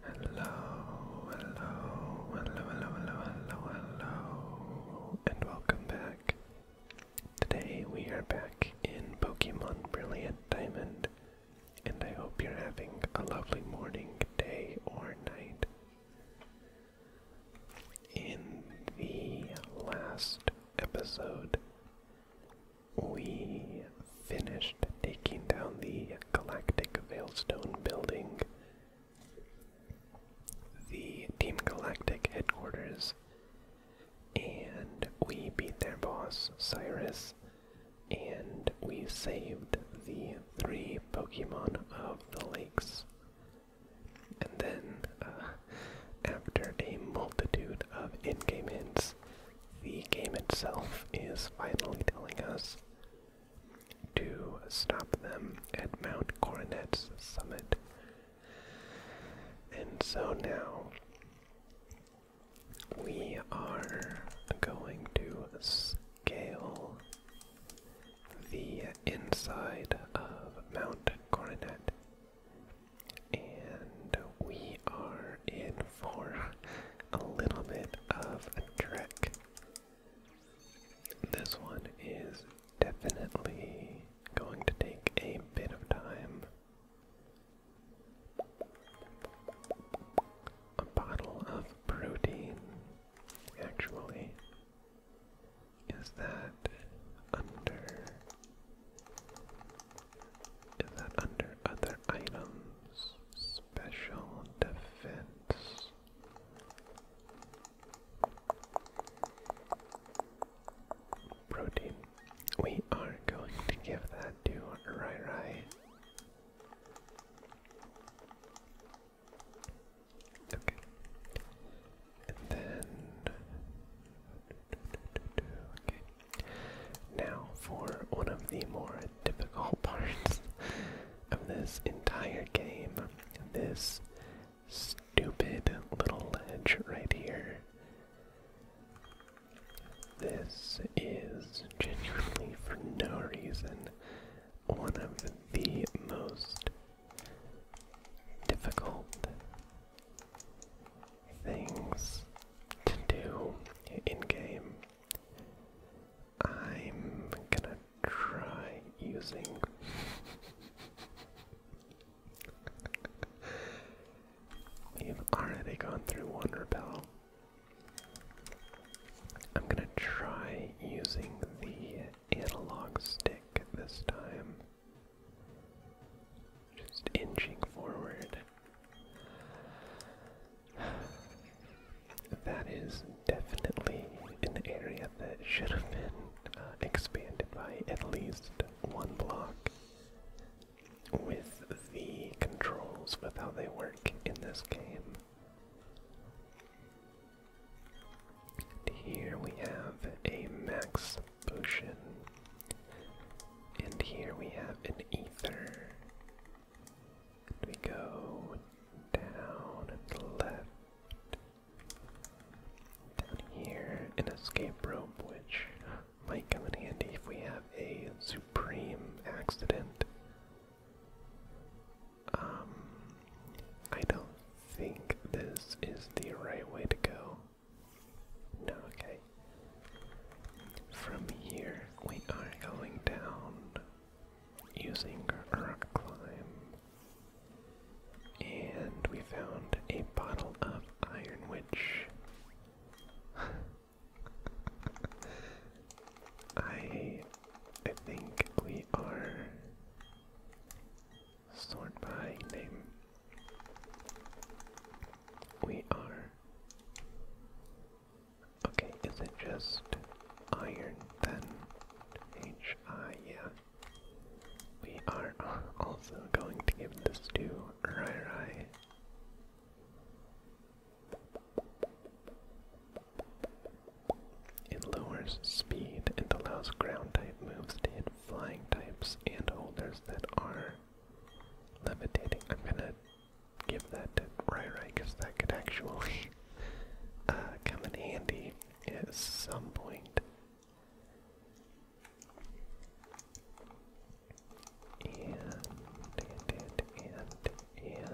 Hello, hello, hello, hello, hello, hello, hello, and welcome back Today we are back in Pokemon Brilliant Diamond, and I hope you're having a lovely morning, day, or night. In the last episode, we finished taking down the Galactic Veilstone building. The Team Galactic headquarters and we beat their boss, Cyrus, and we saved the three Pokemon of the lakes. And then, uh, after a multitude of in game hints, the game itself is finally telling us to stop them at Mount Coronet's summit. And so now we are going to scale the inside of Mount Coronet. And we are in for a little bit of a trek. This one is definitely going to take a bit of time. A bottle of protein, actually. Is that under. Is that under other items? Special defense protein. We are going to give that to Rai Rai. Okay. And then. Okay. Now, for one of the more difficult parts of this entire game, this stupid little ledge right here this is genuinely, for no reason, one of the most difficult things to do in game. I'm gonna try using we have already gone through one repel. I'm gonna try using the analog stick this time. Just inching forward. That is definitely an area that should have been uh, expanded by at least one block with the controls, with how they work in this game. Here we have a max potion, and here we have an ether. And we go down the left, down here, in an escape room, which might come in handy if we have a supreme accident. Um, I don't think this is the right way to go. No, okay. From here, we are going down using rock climb. And we found a bottle of iron, which I I think we are sort by name. We are Okay, is it just iron then? H I yeah. We are also going to give this to Rai Rai it lowers speed and allows ground type moves to hit flying types and holders that are levitating. I'm gonna give that to Ryrai because that could actually uh, come in handy at some point and, and, and,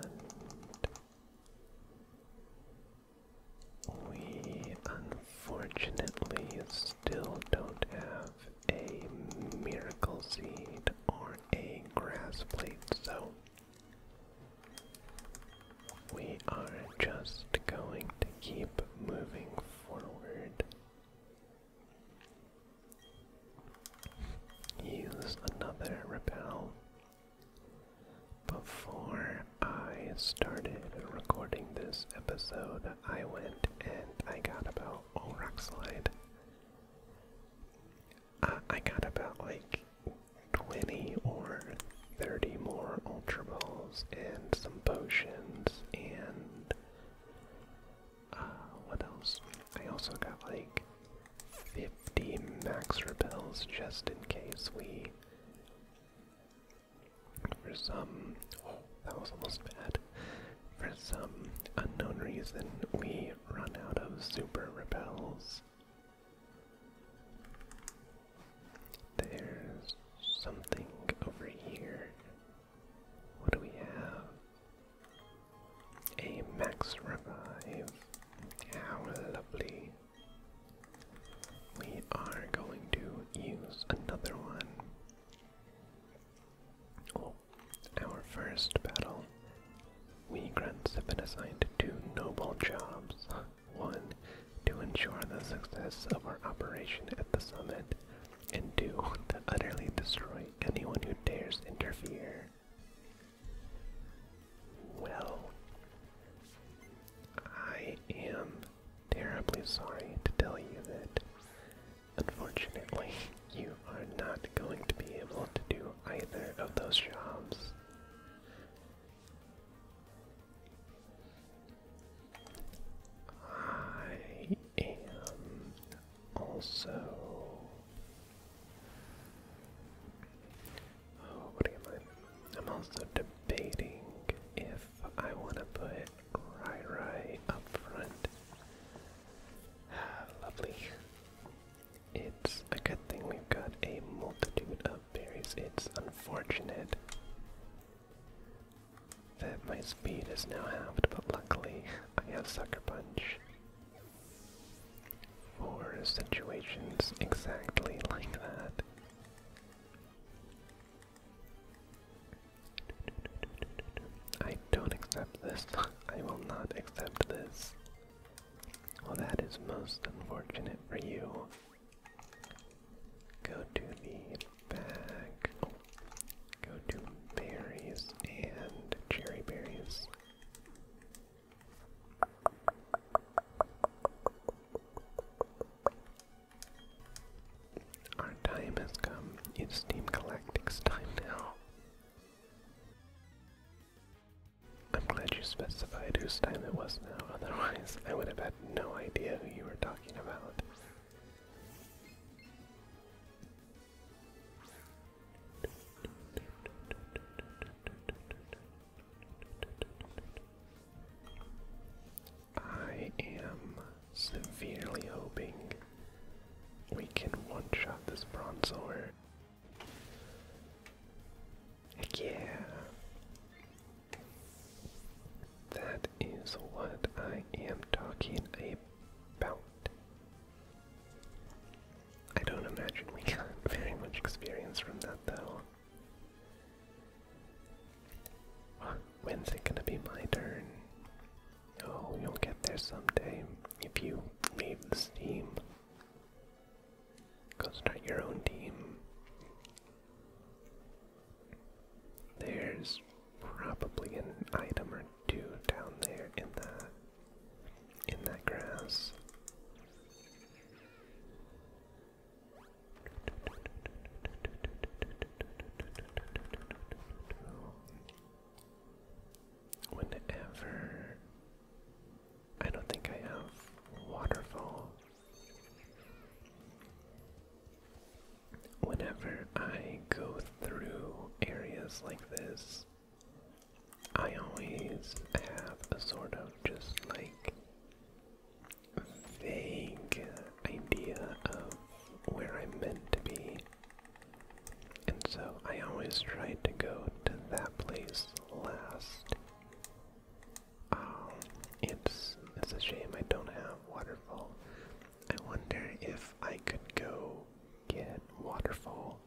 and we unfortunately still don't have a miracle seed or a grass plate, so we are just going to keep moving forward. Use another repel. Before I started recording this episode, I went and I got about oh, rock I got about like 20 or 30 more ultra balls and some potions and what else? I also got like 50 max repels just in case we. For some. that was almost bad. For some unknown reason, we run out of super repels. There's something over here. What do we have? A max revive. How lovely. We are going to use another one. Oh, our first battle. We grunts have been assigned two noble jobs. One, to ensure the success of our operation at the summit and do to utterly destroy anyone who dares interfere. Well, I am terribly sorry to tell you that unfortunately you are not going to be able to do either of those jobs. I and also oh, what am I? I'm also debating if I want to put Rai Rai up front. Ah, lovely. It's a good thing we've got a multitude of berries. It's unfortunate that my speed is now halved, but luckily I have Sucker Punch for situations exactly like that. I don't accept this. I will not accept this. Well, that is most unfortunate for you. Go to the back. Oh, Go to berries and cherry berries. Our time has come. It's Team Galactic's time now. I'm glad you specified whose time it was now, otherwise I would have had no idea who you were talking about. I am severely hoping we can one shot this Bronzor. Heck yeah. That is what I am talking about. I don't imagine we got very much experience from that though. When's it gonna be my turn? Oh, you'll get there someday if you leave this team. Go start your own team. There's probably an item or two down there in that in that grass. Whenever I don't think I have waterfall whenever I go through areas like this, I always have a sort of just like vague idea of where I'm meant to be. And so I always try to go to that place last. Um, it's it's a shame I don't have waterfall. I wonder if I could go get waterfall.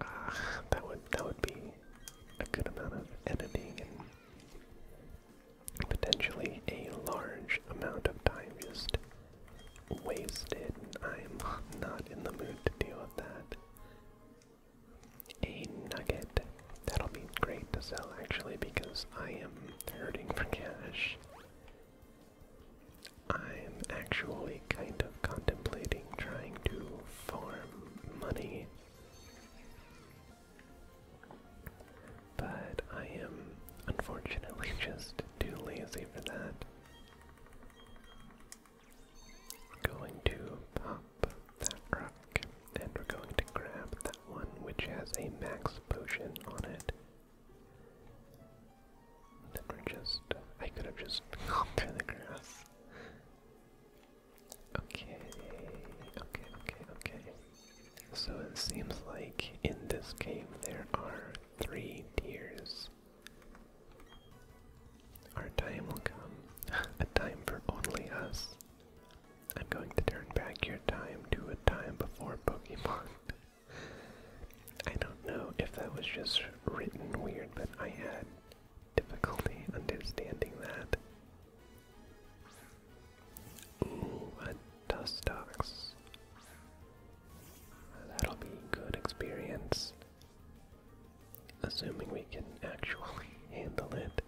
Ah, that would that would be a good amount of editing and potentially a large amount of time just wasted. I'm not in the mood to deal with that. A nugget. That'll be great to sell actually because I am hurting for cash. I'm actually kind of contemplating trying to farm money. But I am unfortunately just too lazy for that. Going to pop that rock, and we're going to grab that one which has a max potion on it. Never just. I could have just gone through the grass. Okay, okay, okay, okay. So it seems like in this game there are three tiers. Our time will come. A time for only us. I'm going to turn back your time to a time before Pokemon. I don't know if that was just written weird, but I had difficulty understanding that. Ooh, a That'll be a good experience. Assuming we can actually handle it.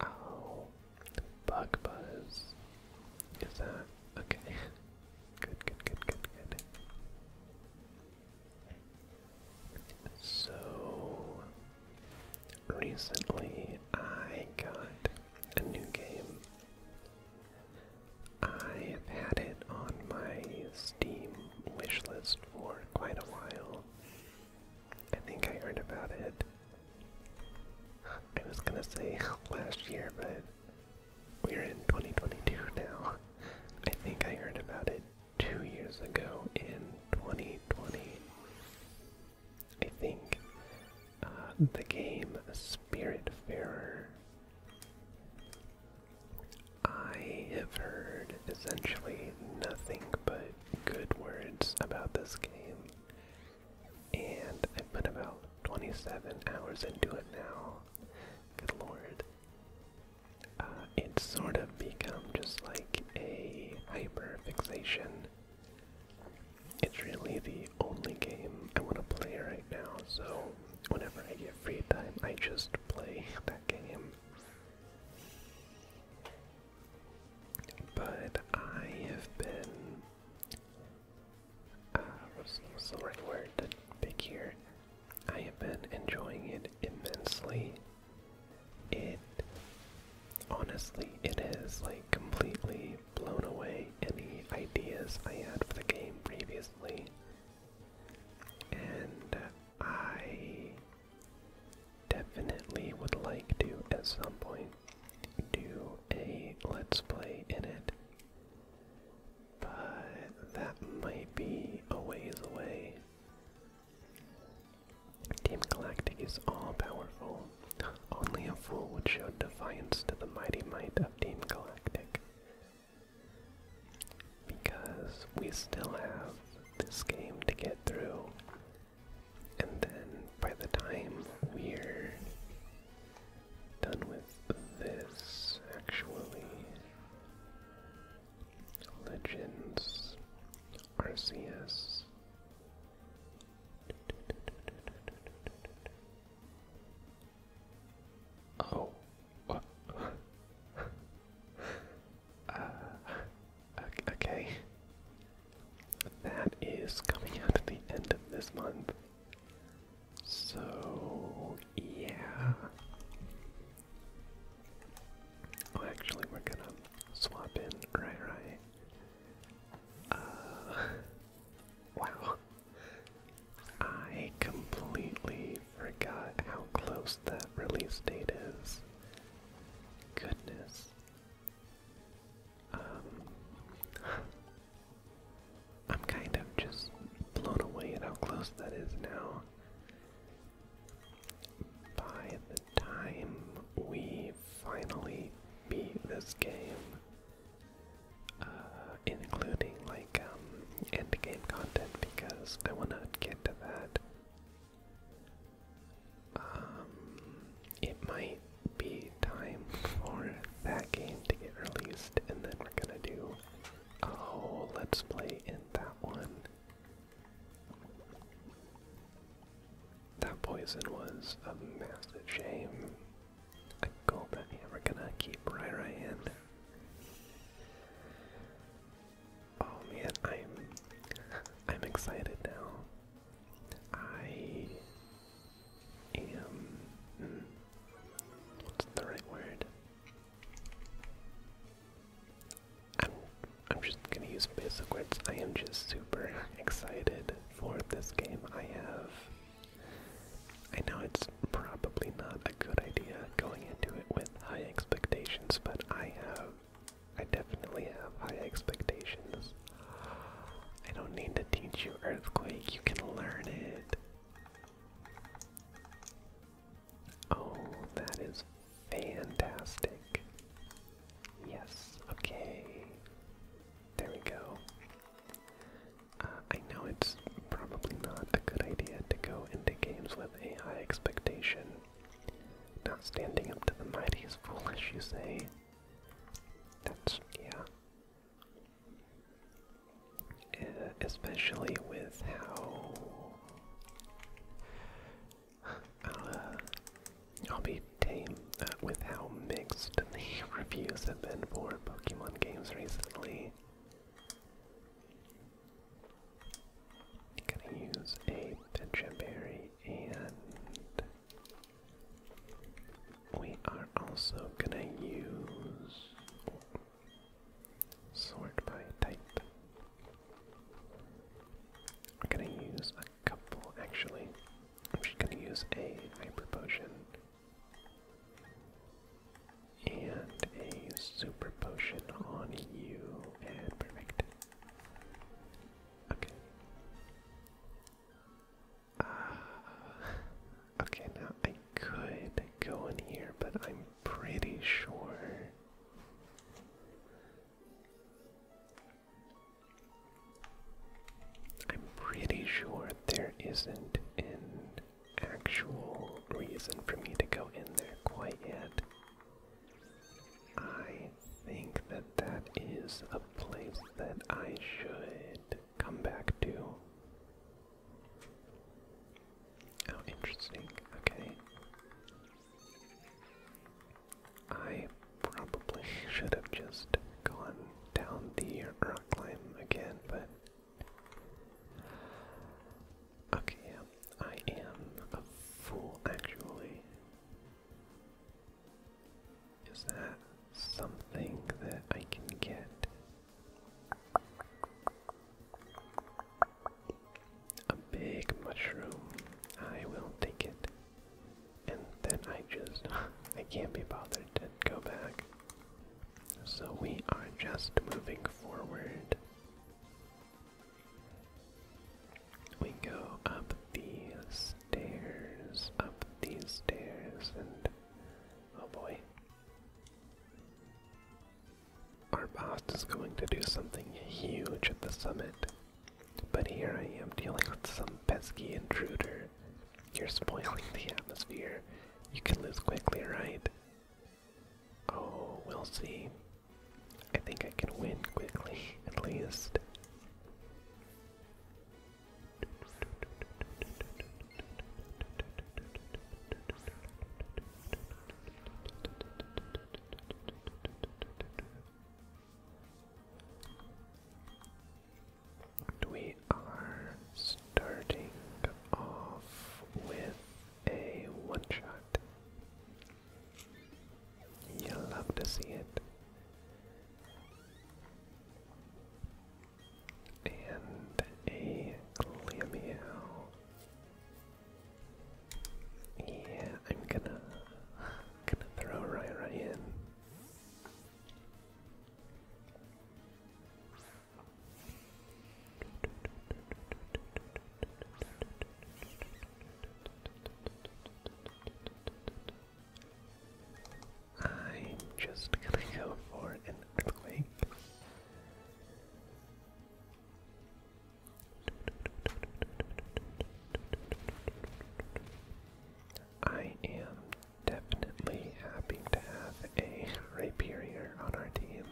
Oh, bug buzz. Is that okay? Good, good, good, good, good. So recently I got a new game. I have had it on my Steam wishlist for quite a while. I think I heard about it. I was gonna say last year, but we're in 2022 now. I think I heard about it two years ago in 2020. I think uh, the game Spiritfarer I have heard essentially nothing but good words about this game, and I've put about 27 hours into it now. Good lord. Uh, it's sort of become just like a hyper fixation. It's really the only game I want to play right now, so whenever I get free time, I just play that game. But I have been. Uh, what's, what's the right word to I have been enjoying it immensely. It. Honestly, it has like completely blown away any ideas I had for the game previously. And I definitely would like to, at some point, do a Let's Play in it. But that might be a ways away. Team Galactic is all powerful. Only a fool would show defiance to the mighty might of Team Galactic because we still have this game to get through. And then by the time we're done with this, actually, Legends, RCS. Oh. Uh, okay. That is coming out at the end of this month. So, yeah. Oh, actually, we're gonna swap in. Right, right. Uh, wow. I completely forgot how close that release date is. Goodness. Um, I'm kind of just blown away at how close that is now. By the time we finally beat this game, uh, including like um, end game content, because I want to get to that um, it might be time for that game to get released, and then we're gonna do a oh, whole let's play in that one. That poison was a massive shame. I go back. we're gonna keep right, right in. Oh man, I'm I'm excited now. I am hmm, what's the right word? I'm I'm just gonna use basic words. I am just super excited for this game. I have I know it's probably not a good idea going into it with high expectations, but I have I definitely have high expectations. I don't need to teach you Earthquake, you can learn it. Oh, that is fantastic. Yes, okay. There we go. Uh, I know it's probably not a good idea to go into games with a high expectation, not standing up to the mighty is foolish, you say. That's, yeah. Uh, especially with how. Uh, I'll, be tame uh, with how mixed the reviews have been for Pokemon games recently. Gonna use a Petra Berry and we are also gonna use sort by type. We're gonna use a couple actually. I'm just gonna use a hyper potion and a super potion on you and perfect. Okay. Uh, okay, now I could go in here, but I'm pretty sure. I'm pretty sure there isn't an actual reason for me to go in there quite yet. I think that that is a place that I should come back to. Oh, interesting. Okay. I probably should have just gone down the rock climb again, but. Okay, yeah, I am a fool, actually. Is that something that I can get? A big mushroom. I will take it. And then I just, I can't be bothered to go back. So we are just moving forward we go up these stairs, up these stairs, and oh boy. Our boss is going to do something huge at the summit. But here I am dealing with some pesky intruder. You're spoiling the atmosphere. You can lose quickly, right? Oh, we'll see. I think I can win quickly, at least. We are starting off with a one shot. You'll love to see it. And a Glameo. Yeah, I'm gonna gonna throw Ryra in. I'm just gonna go for an earthquake. I am definitely happy to have a Rhyperior on our team.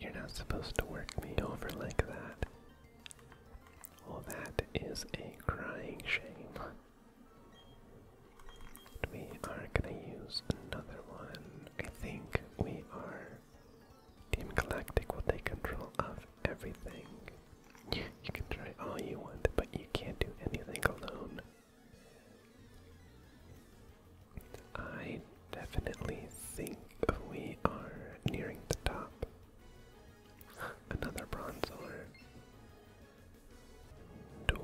You're not supposed to work me over like that. Oh, that is a crying shame. We are gonna use another one. I think we are. Team Galactic will take control of everything. You can try all you want, but you can't do anything alone. I definitely think we are nearing the top. Another bronze ore.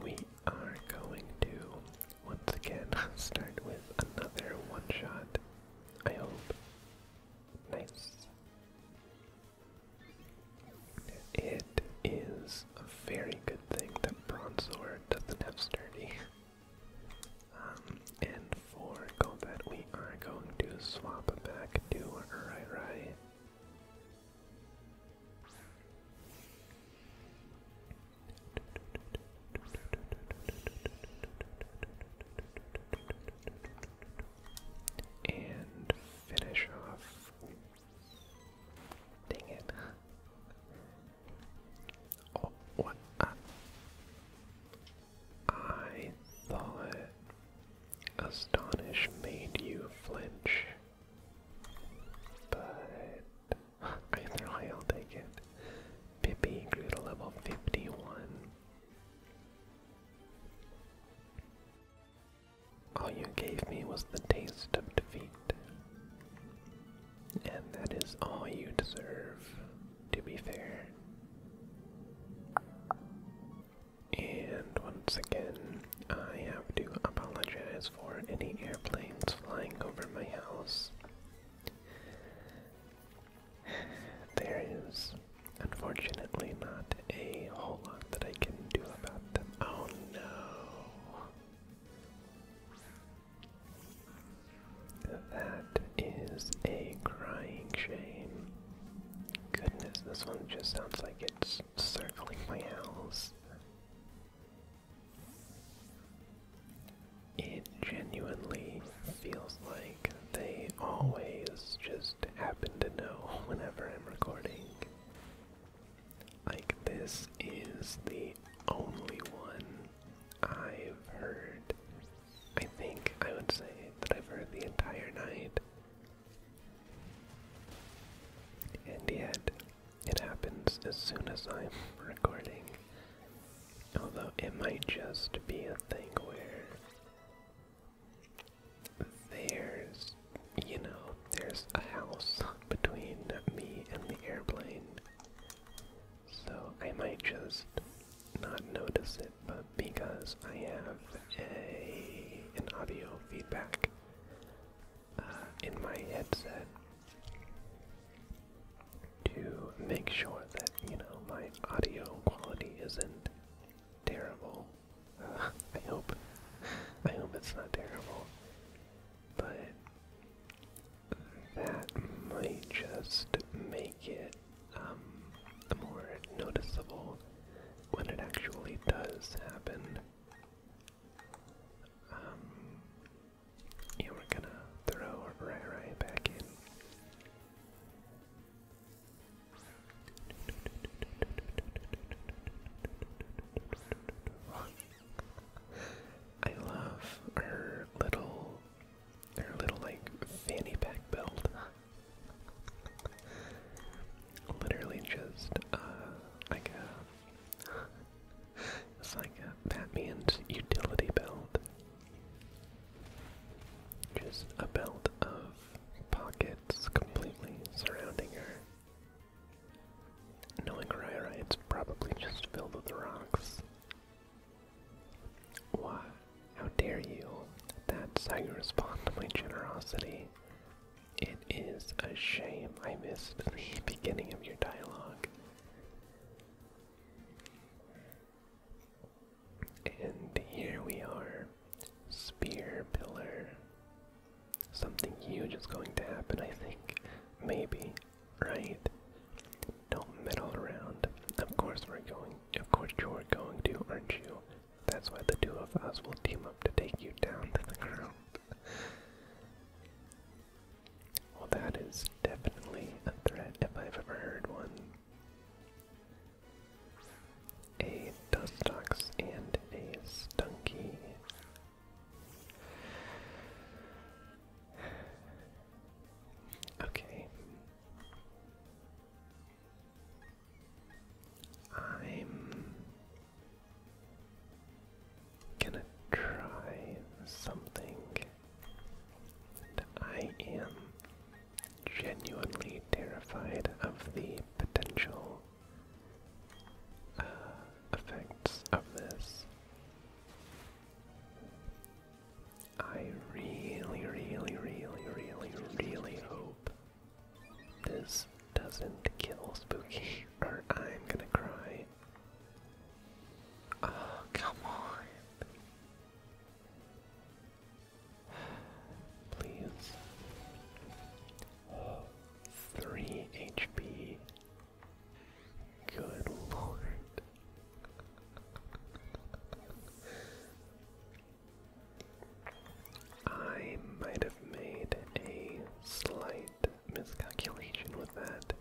we are going to once again start with another one shot. I hope. Nice. It is very good good thing that Bronzor doesn't have Sturdy. Um, and for Golbat, we are going to swap back to Rairai. And finish off. Dang it. Oh, what? I, thought Astonish made you flinch. But I'll take it. Pippi grew to level 51. All you gave me was the taste of defeat. And that is all you deserve, to be fair. And once again, I have to apologize for any airplanes flying over my house. There is unfortunately not a whole lot that I can do about them. Oh no! That is a crying shame. Goodness, this one just sounds like it's circling my house. It genuinely feels like they always just happen to know whenever I'm recording. Like, this is the only one I've heard. I think I would say that I've heard the entire night. And yet, it happens as soon as I'm recording. Although it might just be a thing where there's, you know, there's a house between me and the airplane, so I might just not notice it, but because I have a an audio feedback uh, in my headset to make sure that you know my audio quality isn't terrible. I hope I hope it's not terrible, but that might just make it um, more noticeable when it actually does happen. Um, yeah, we're gonna throw Rai back in. I love her little, her little like fanny pack belt. Literally just uh, like a, it's like a Batman's utility belt. Just a belt of pockets completely surrounding her. Knowing Ryrite, it's probably just filled with rocks. Why? How dare you? That's how you respond to my generosity. It is a shame I missed the beginning of your dialogue. And here we are. Spear pillar. Something huge is going to happen, I think. Maybe right? Don't meddle around. Of course we're going. Of course you're going to, aren't you? That's why the two of us will team up to take you down to the ground. Well, that is definitely a threat if I've ever heard one. A Dustox and a Stunky. Okay. I'm gonna try something that I am genuinely terrified of the potential uh, effects of this. I really, really, really, really, really hope this doesn't kill Spooky, or I'm gonna cry. Oh, come on. Please. Three HP. Good lord. I might have made a slight miscalculation with that.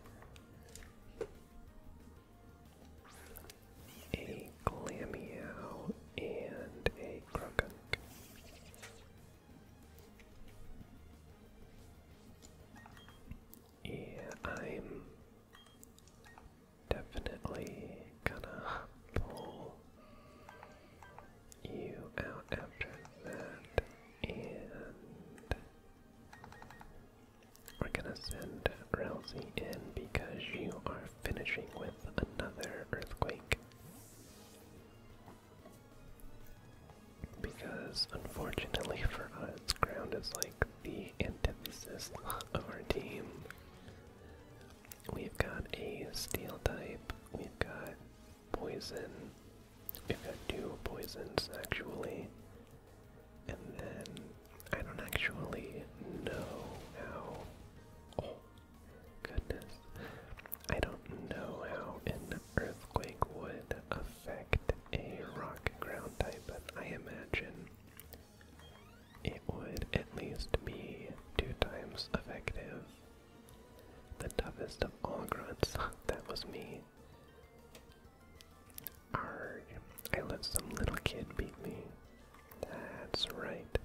A Glammeow and a Krogunk. Yeah, I'm definitely gonna pull you out after that, and we're gonna send Rousey in because you are finishing with another earthquake because unfortunately for us, ground is like the antithesis of our team. We've got a steel type, we've got poison, we've got two poisons actually, and then I don't actually know how. Oh, goodness. I don't know how earthquake would affect a rock ground type, but I imagine it would at least be two times effective. The toughest of all grunts, that was me. Arg, I let some little kid beat me. That's right.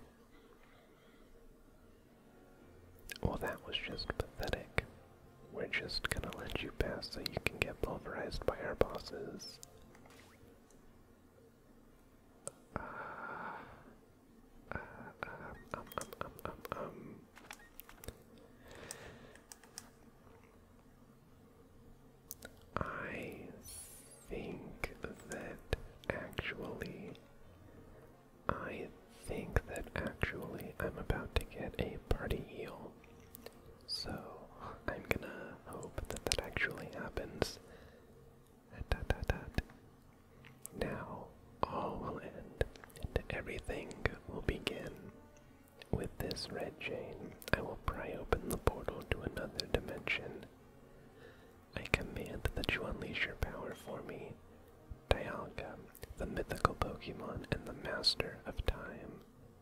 Well, that was just pathetic. We're just gonna let you pass so you can get pulverized by our bosses. Uh, uh, um, um, um, I think that actually, I think that actually I'm about to get a party eel. So I'm gonna hope that that actually happens. Now all will end and everything will begin. With this red chain, I will pry open the portal to another dimension. I command that you unleash your power for me, Dialga, the mythical Pokemon and the master of time.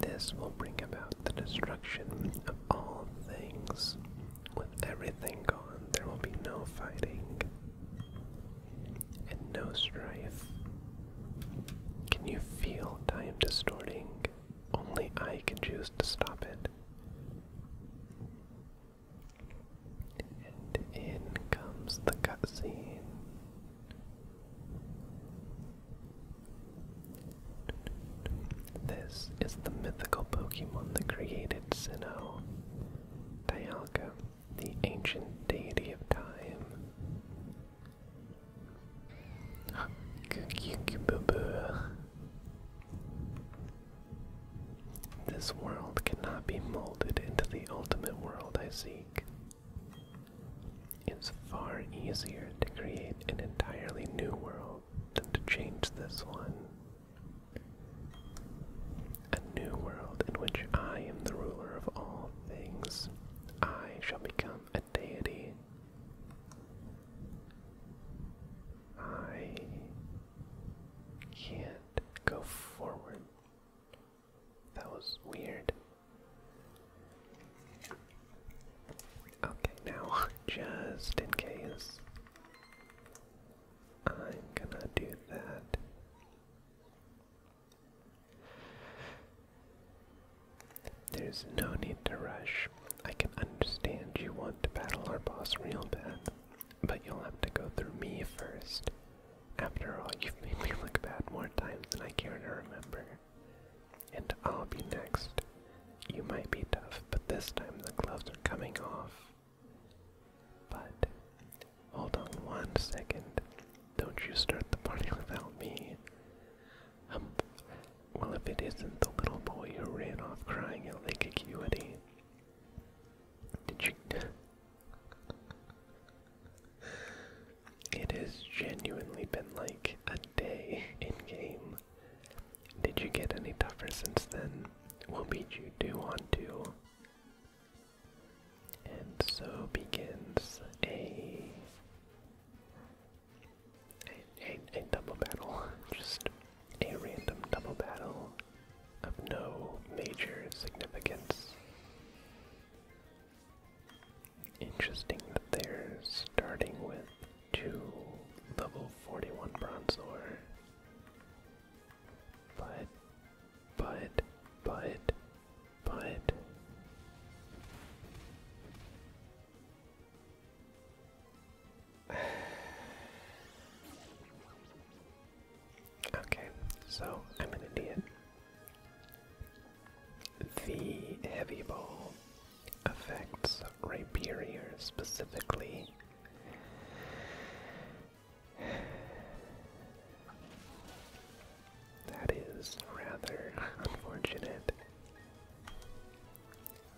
This will bring about the destruction of all things. With everything gone, there will be no fighting and no strife. Can you feel time distorting? Only I can choose to stop it. And in comes the cutscene. This is the mythical Pokemon that created Sinnoh. Dialga, the ancient deity of time. This world cannot be molded into the ultimate world I seek. It's far easier to create an entirely new world than to change this one. A new world in which I am the ruler of all things. I shall become a deity. I can't go forward. That was weird. Okay, now, just in case, I'm gonna do that. There's no need to rush. I can understand you want to battle our boss real bad. But you'll have to go through me first. After all, you've made me look bad more times than I care to remember. And I'll be next. You might be tough, but this time the gloves are coming off. But, hold on one second. Don't you start the party without me. Um, well, if it isn't the little boy who ran off crying at Lake Acuity. Did you? it has genuinely been like a day in game. Did you get any tougher since then? We'll beat you two on two. And so begins a a, double battle. Just a random double battle of no major significance. Interesting that they're starting with two level 41 bronze But, but, but, but. Okay, so I'm an idiot. The heavy ball affects Rhyperior specifically. That is rather unfortunate.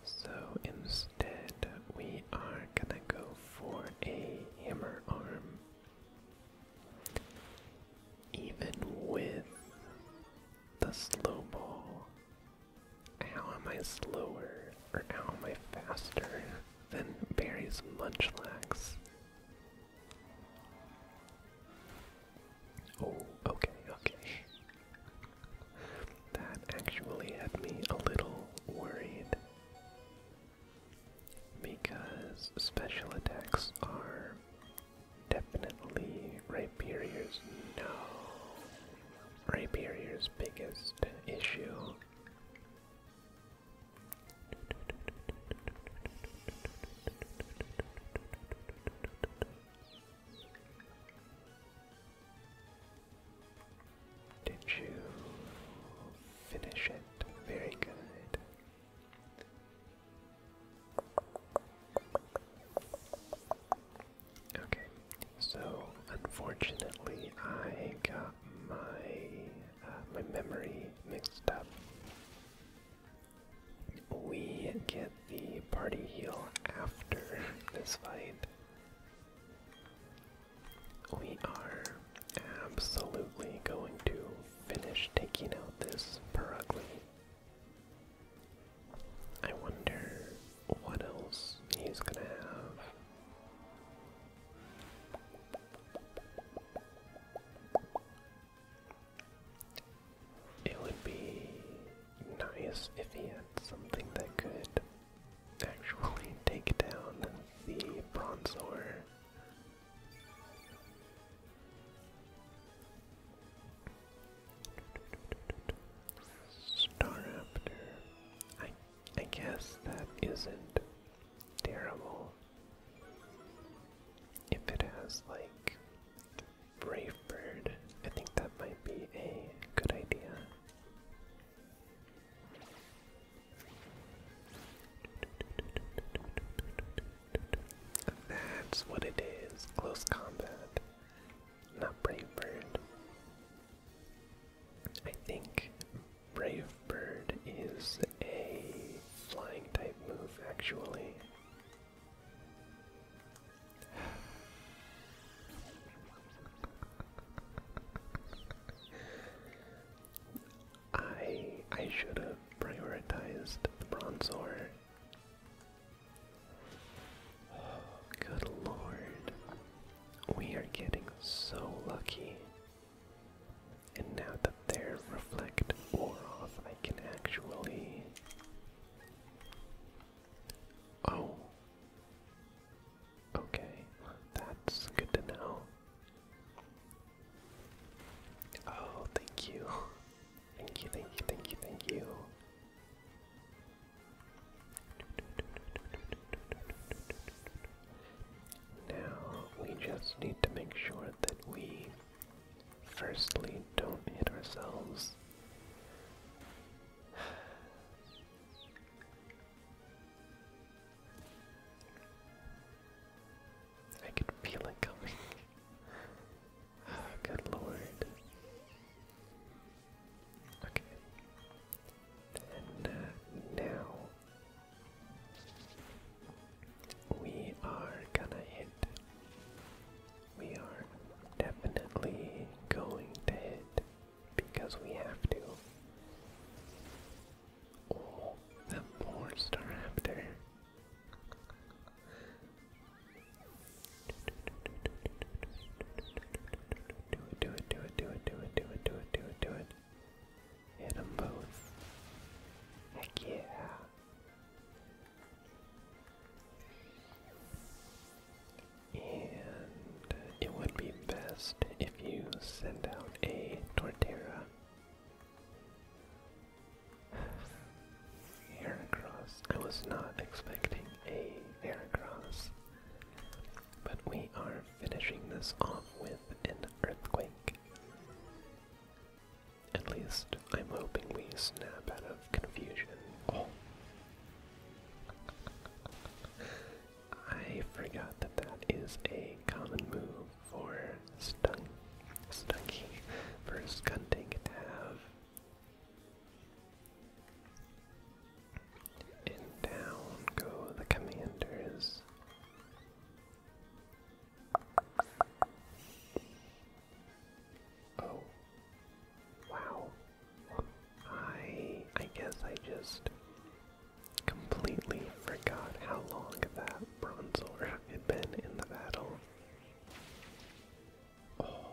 So, in Instead, we are gonna go for a hammer arm. Even with the slow ball, how am I slower or how am I faster than Barry's Munchlax? Oh, okay, okay. That actually had me a little worried because special attacks are definitely Rhyperier's no Rhyperier's biggest issue. Did you finish it? Very good. Okay, so unfortunately, I got my uh, my memory mixed up. We get the party heal after this fight we are absolutely going to finish taking out this Perugly. I wonder what else he's gonna have. It would be nice if he had something that could actually take down the Bronzor. Star Raptor. I I guess that isn't terrible. If it has like Brave Bird, I think that might be a good idea. That's what it is. Close combat. Not Brave Bird. I think Brave Bird is a flying type move, actually. I I should have prioritized the bronze good lord. We are getting so lucky. And now that their reflect wore off, I can actually. Oh. Okay, that's good to know. Oh, thank you. Thank you, thank you, thank you, thank you. Now, we just need to make sure that we firstly don't hit ourselves. I can feel it coming. good lord. Okay. And uh, now we are gonna hit. We are definitely going to hit because we have to. Oh, that more star raptor. Do it, do it, do it, do it, do it, do it, do it, do it, do it. Hit them both. Heck yeah. And it would be best if you send out a Torterra Heracross. I was not expecting a Heracross, but we are finishing this off with an Earthquake. At least I'm hoping we snap out of confusion. I forgot that that is a common move for Stung, Stunky, for Skunting to have. And down go the commanders. Oh. Wow. I I guess I just Completely forgot how long that bronzor had been in the battle. Oh,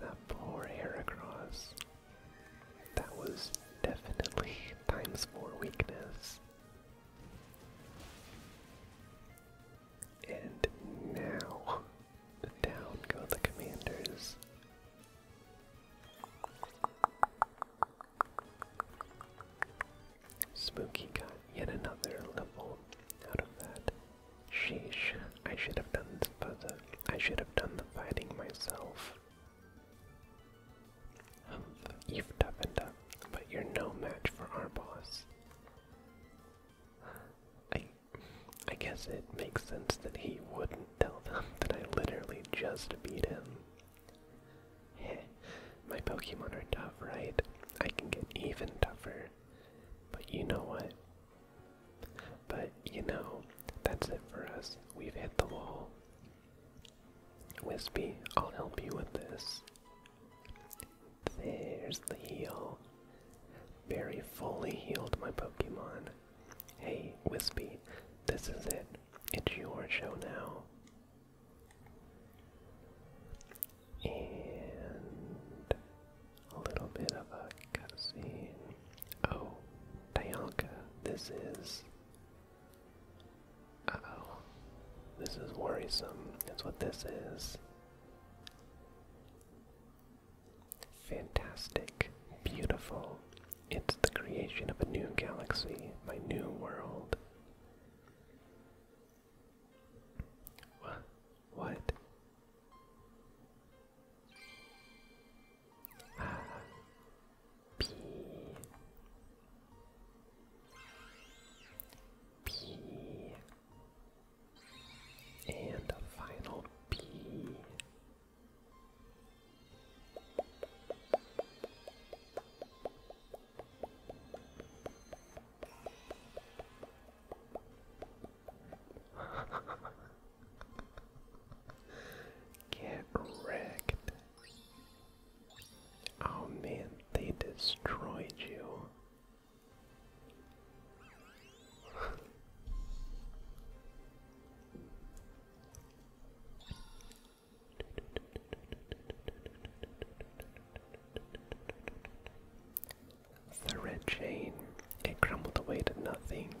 that poor Heracross. That was definitely times four weakness. And now, down go the commanders. Spooky got yet another level out of that. Sheesh, I should have done the I should have done the fighting myself. Humph, you've toughened up, but you're no match for our boss. I, I guess it makes sense that he wouldn't tell them that I literally just beat him. Heh, my Pokemon are tough, right? I can get even tougher. But you know what? But you know, that's it for us. We've hit the wall. Wispy, I'll help you with this. There's the heal. Very fully healed my Pokemon. Hey, Wispy, this is it. It's your show now. And a little bit of a cutscene. Oh, Dianca, this is. oh. This is worrisome. That's what this is. Fantastic, beautiful, it's the creation of a new galaxy, my new world. What? What? Ah. And a final P. Get wrecked. Oh man, they destroyed you. The red chain, it crumbled away to nothing.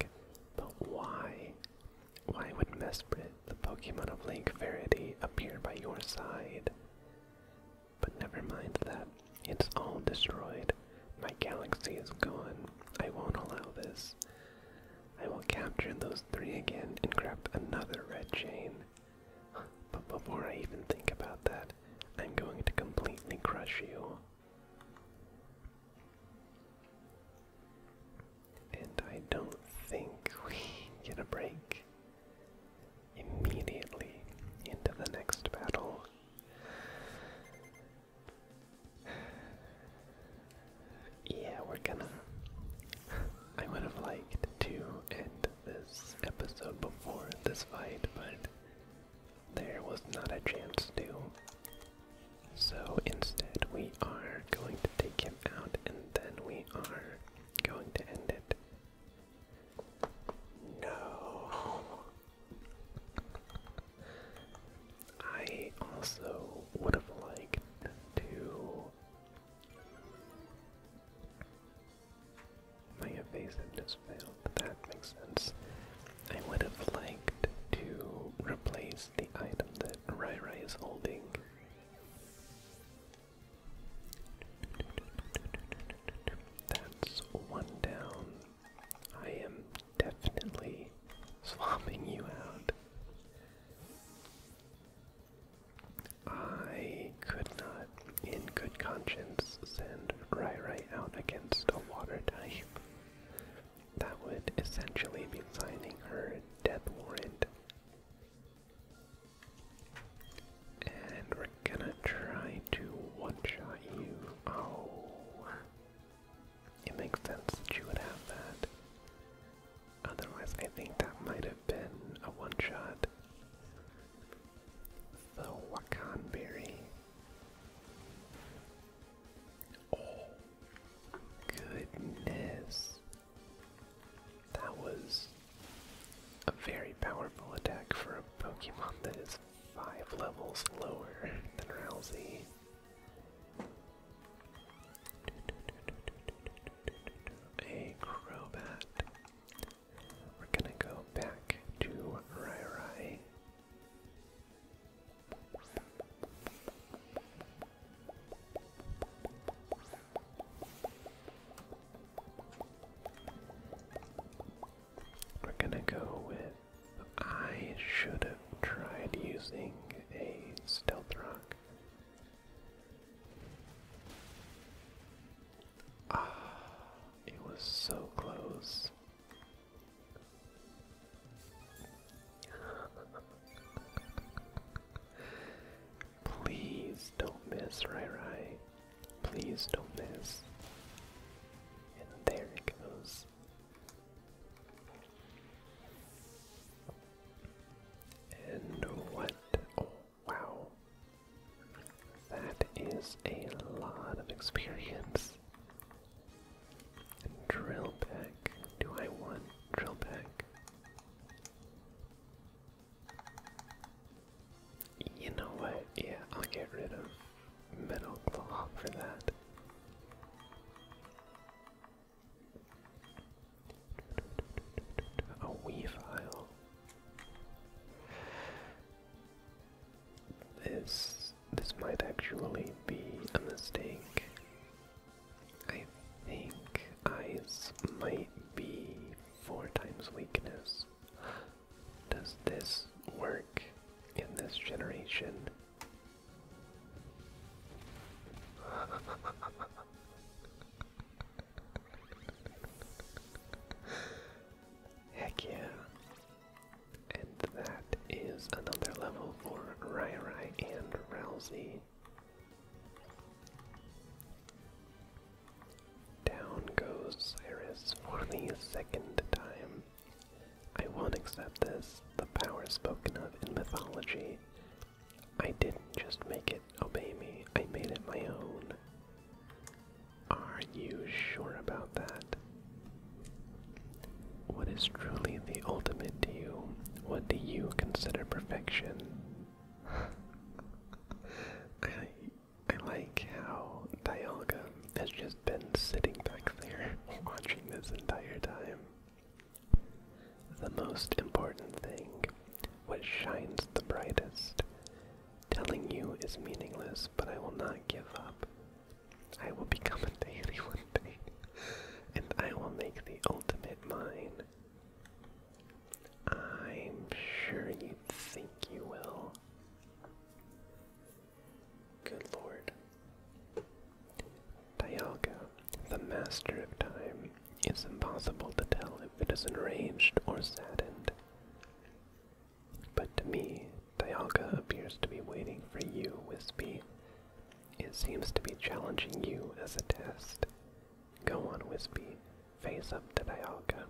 But why? Why would Mesprit, the Pokemon of Lake Verity, appear by your side? But never mind that. It's all destroyed. My galaxy is gone. I won't allow this. I will capture those three again and grab another red chain. But before I even think about that, I'm going to completely crush you. And I don't think we get a break immediately into the next battle yeah, we're gonna. I would have liked to end this episode before this fight, but there was not a chance to. So instead, we are going to take him out and then we are going to end it. No! I also would have liked to my evasiveness failed, that makes sense. I would have liked to replace the item that Rai Rai is holding. That's one down. I am definitely swapping you out. I could not, in good conscience, send Rairai out against a water type. That would essentially be signing her death warrant. And we're gonna try to one-shot you. Oh. It makes sense that you would have that. Otherwise, I think that might have been a one shot. The Wakan Oh, goodness. That was a very powerful attack for a Pokemon that is five levels lower than Rousey. A Crobat. We're gonna go back to Rai Rai. We're gonna go with. I should have tried using a stealth rock. Ah, it was so close. Please don't miss, Rai Please don't miss. And there it goes. And what? wow. That is a lot of experience. Drill pack. Do I want drill pack? You know what? Yeah, I'll get rid of metal claw for that. A weave file. This this might actually be a mistake. I think ice might be four times weakness. Does this work in this generation? Heck yeah. And that is another level for Rai Rai and Rousey. Down goes Cyrus for the second time. I won't accept this. The power spoken of in mythology I didn't just make it obey me, I made it my own. Are you sure about that? What is truly the ultimate to you? What do you consider perfection? I, I like how Dialga has just been sitting back there watching this entire time. The most important thing, what shines the brightest, telling you is meaningless, but I will not give up. I will become a daily one day, and I will make the ultimate mine. I'm sure you think you will. Good lord. Dialga, the master of time, is impossible to tell if it is enraged or saddened. But to me, Dialga appears to be waiting for you, Wispy. It seems to be challenging you as a test. Go on, Wispy. Face up to Dialga.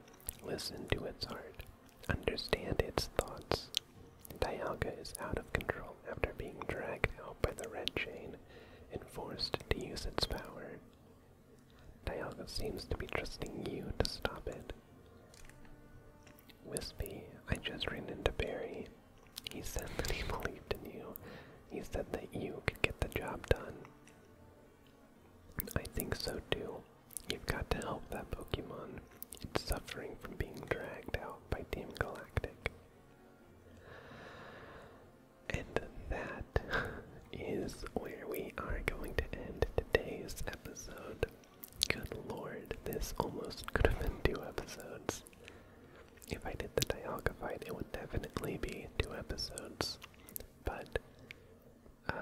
Listen to its heart. Understand its thoughts. Dialga is out of control after being dragged out by the red chain. Enforced to use its power. Dialga seems to be trusting you to stop it. Wispy, I just ran into Barry. He said that he believed in you. He said that you could get the job done. I think so too. You've got to help that Pokemon. It's suffering from being dragged out by Team Galactic. And that is where we are going to end today's episode. Good lord, this almost could have been two episodes. If I did the Dialga fight, it would definitely be two episodes. But uh,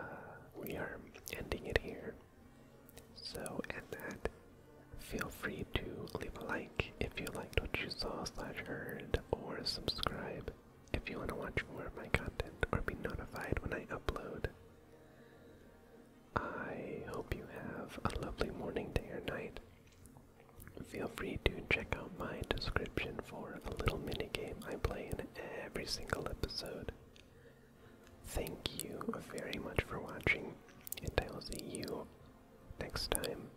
we are ending it here. So, at that, feel free to leave a like if you liked what you saw slash heard, or subscribe if you want to watch more of my content or be notified when I upload. I hope you have a lovely morning, day, or night. Feel free to check out my description for a little mini game I play in every single episode. Thank you very much for watching, and I will see you next time.